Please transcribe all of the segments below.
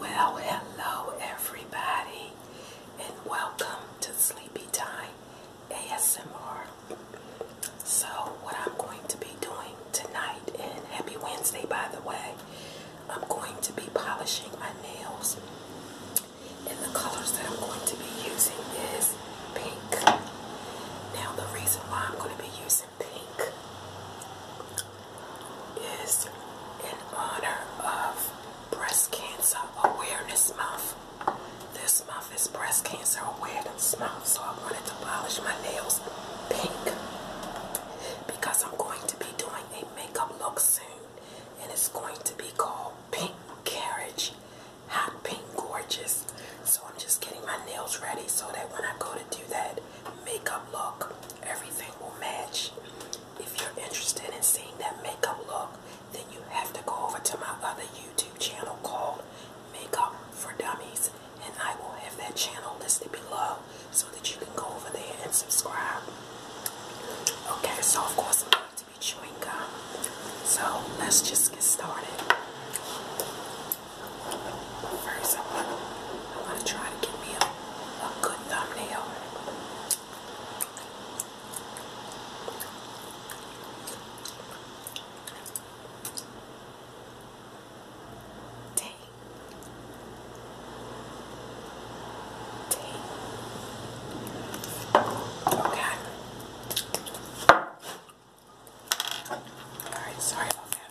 Well, hello everybody, and welcome to Sleepy Time ASMR. So, what I'm going to be doing tonight, and happy Wednesday by the way, I'm going to be polishing my nails, and the colors that I'm going to be using is pink. Now, the reason why I'm going to be using pink is in honor of Breast Cancer Awareness Month. This month is Breast Cancer Awareness Month, so I wanted to polish my nails pink because I'm going to be doing a makeup look soon and it's going to be called Pink Carriage Hot Gorgeous. So I'm just getting my nails ready so that when I go to do that, makeup look. Everything will match. If you're interested in seeing that makeup look, then you have to go over to my other YouTube channel called Makeup for Dummies, and I will have that channel listed below so that you can go over there and subscribe. Okay, so of course I'm going to be chewing gum. So let's just get started first, I'm to try to get me a, good thumbnail. Day. Day. Okay. All right. Sorry about that.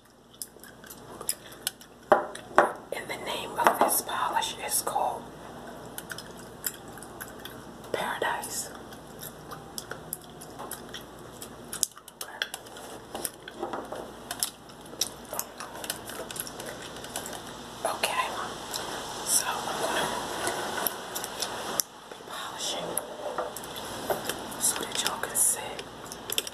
And the name of this polish is called Paradise. Okay, so I'm going to be polishing so that y'all can see.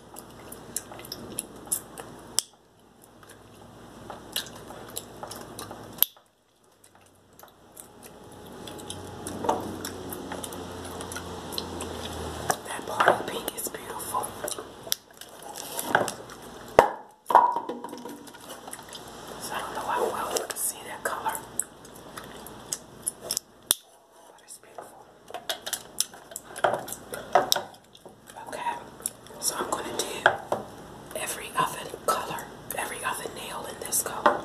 That bottle pink is beautiful. So I don't know how well you can see that color. Okay, so I'm going to do every oven color, every other nail in this color.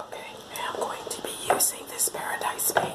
Okay, now I'm going to be using this Paradise Pink.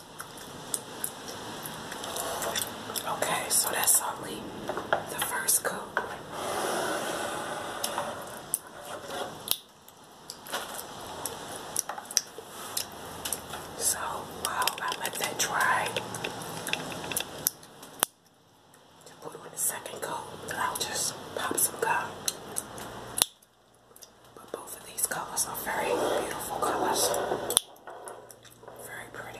Okay, so that's only the first coat. So, wow, I let that dry. To put on the second coat, I'll just pop some gum. But both of these colors are very beautiful colors. Very pretty.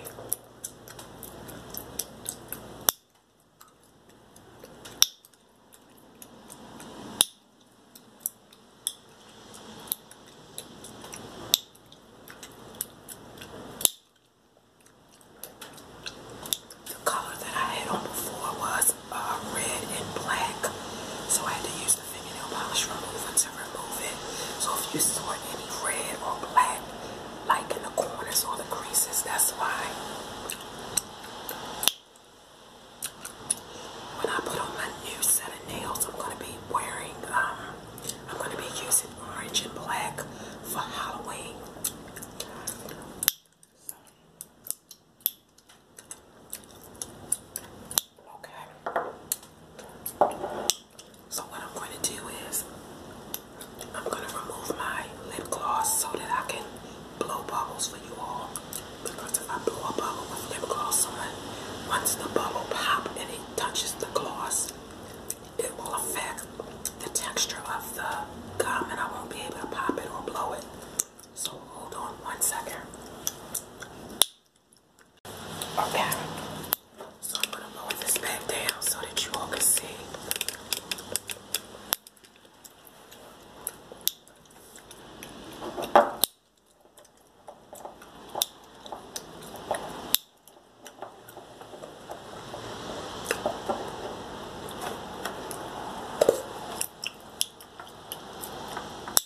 The color that I had on before was uh, red and black, so I had to use so if you saw any red or black, like in the corners or the creases, that's why. When I put on my new set of nails, I'm going to be wearing, um, I'm going to be using orange and black for Halloween. Okay. So what I'm going to do is I'm going to remove my lip gloss so that I can blow bubbles for you all. Because if I blow a bubble with lip gloss on, once the bubble pops and it touches the gloss, it will affect the texture of the gum and I won't be able to pop it or blow it. So hold on one second. Okay. So I'm gonna move this back down so that you all can see.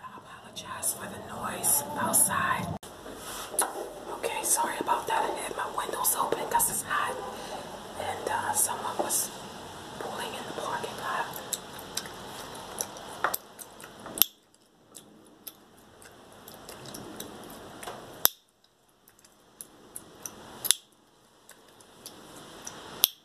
I apologize for the noise outside. Okay, sorry about that. I had my windows open because it's hot. And uh, someone was pulling in the parking lot.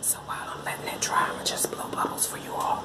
So while I'm letting it dry, i will just blow bubbles for you all.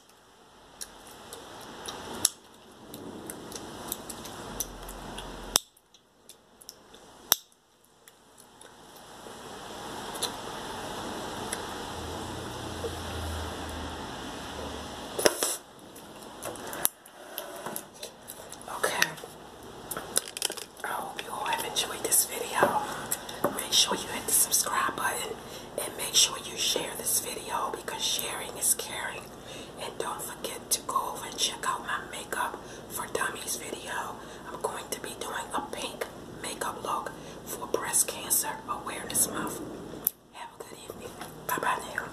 Okay. I hope you all have enjoyed this video. Make sure you hit the subscribe button and make sure you share this video because sharing is caring. And don't forget to go over and check out my Makeup for Dummies video. I'm going to be doing a pink makeup look for Breast Cancer Awareness Month. Have a good evening. Bye-bye now.